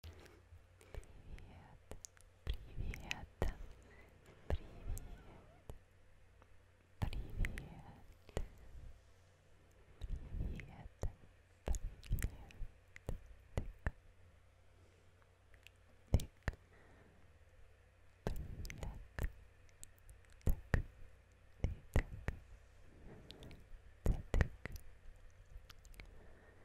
привет, привет, привет, привет, тык, тык, тык, тык, тык, тык, тык,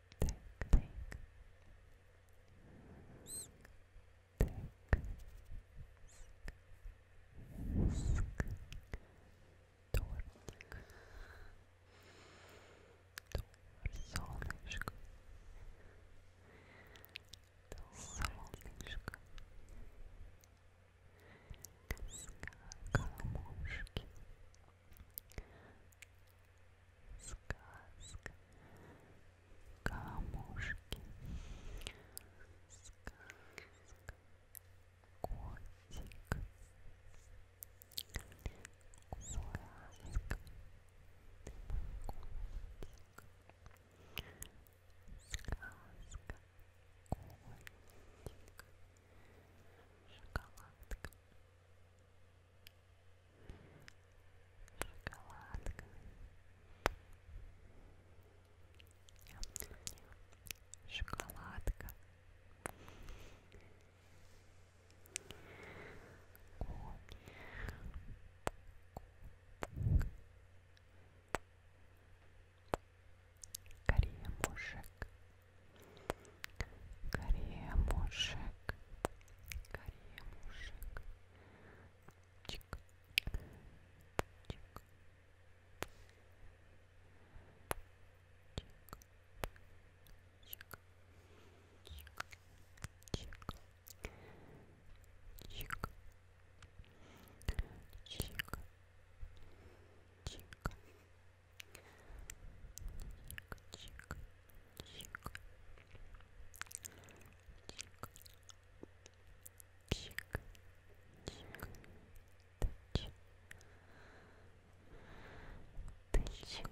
тортик, солнышко, солнышко, камушки, сказка камушки сказка котик сказка ты мой котик сказка котик шоколадка шоколадка шоколадка Кремушек Корея мушек. Корея мушек. Чик. Чик. Чик. Чик. Чик. Чик. Чик. Чик. Чик. Чик, чик, чик, чик, чик, тыч, тыч, чик,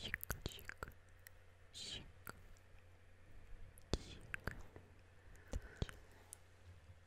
чик, чик, чик, тыч,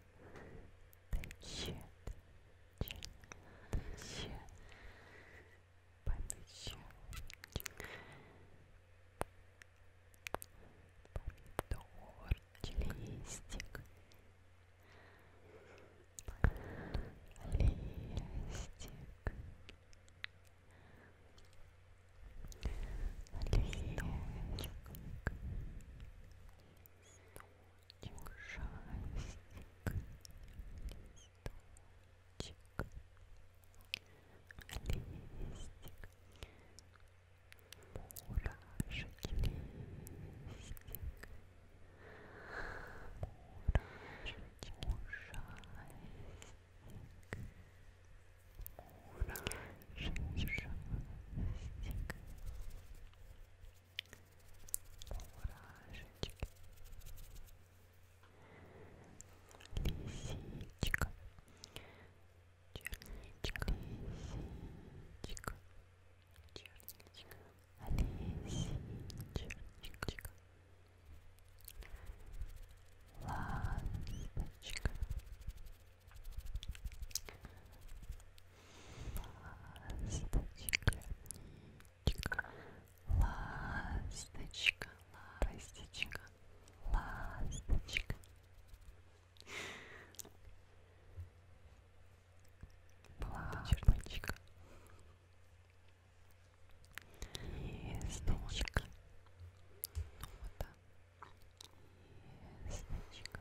Shit. Shit. Помидор, листик, листик, листик, листик ужастик, листочек, листик, мурашек, листик, мурашек, ужастик. Мурашек, ужастик, мурашечки, лисичка, черничка, лисичка, черничка, лисичка, ласточка, ласточка, ничка, ласточка, ласточка, ласточка. Плавничка. Листочка. Ну вот так. Листочка.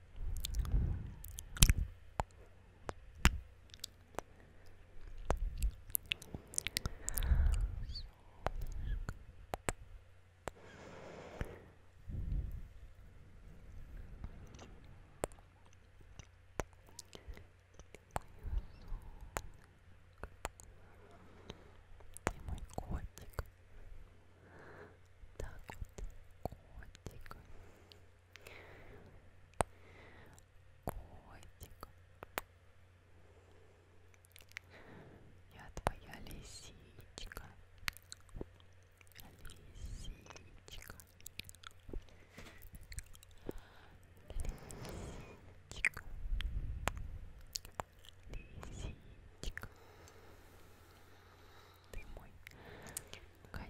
И мой котик. Так вот, котик. Котик. Я твоя лисичка. Лисичка. Лисичка. Лисичка ты мой котенок.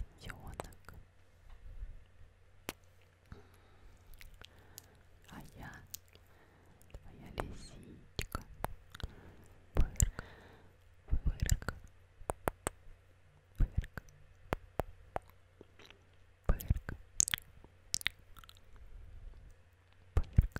А я твоя лисичка. Пырк, пырк, пырк, пырк, пырк.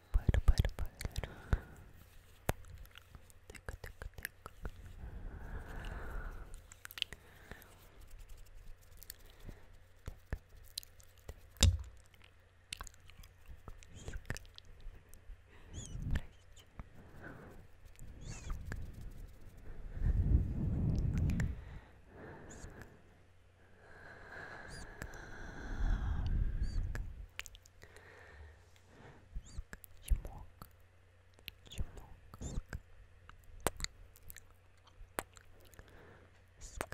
пара пара пара так так так так Здрасте. Ск. Ск. Ск. Чмок. Чмок. Ск. Ск.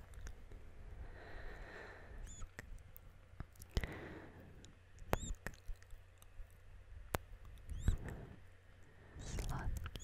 Ск. Сладкий. Сладкий.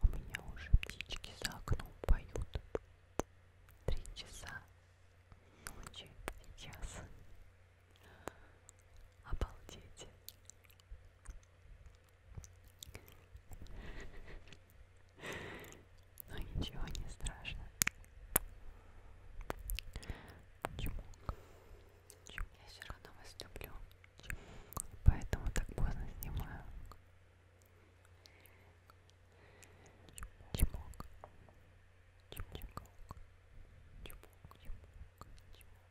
У меня уже птички за окном поют. Три часа ночи сейчас. Обалдеть. Но ну, ничего не страшно. Почему? Почему? Я все равно вас люблю. Поэтому так поздно снимаю. Чемок. Чемок. Чемок. Чемок. Чемок.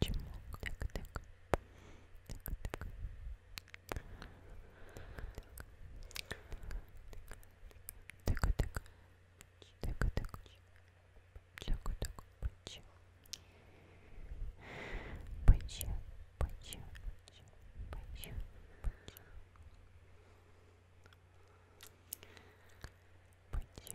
Чмок. Так, так. Так, так. Так, так. Так, так. Так, так. Пачи. Пачи. Пачи. Пачи. Пачи. Пачи.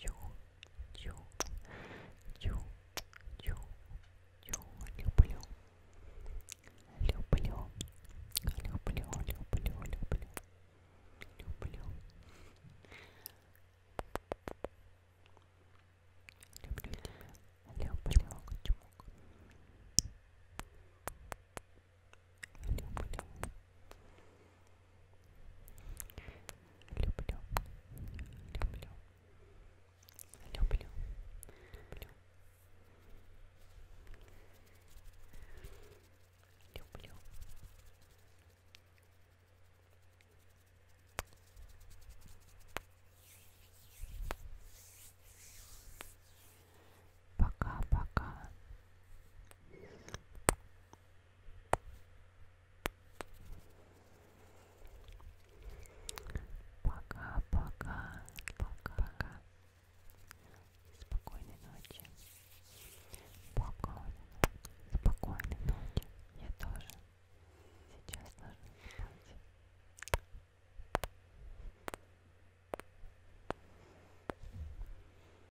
Ю, ю, ю, ю, ю, люблю. Люблю. Люблю, люблю, люблю. Люблю. Люблю тебя. Люблю. Люблю. Люблю, люблю, люблю, люблю. Люблю. Пока-пока. Пока-пока. Пока. Спокойной ночи. Спокойной ночи. Спокойной ночи. Я тоже. Сейчас должна спать.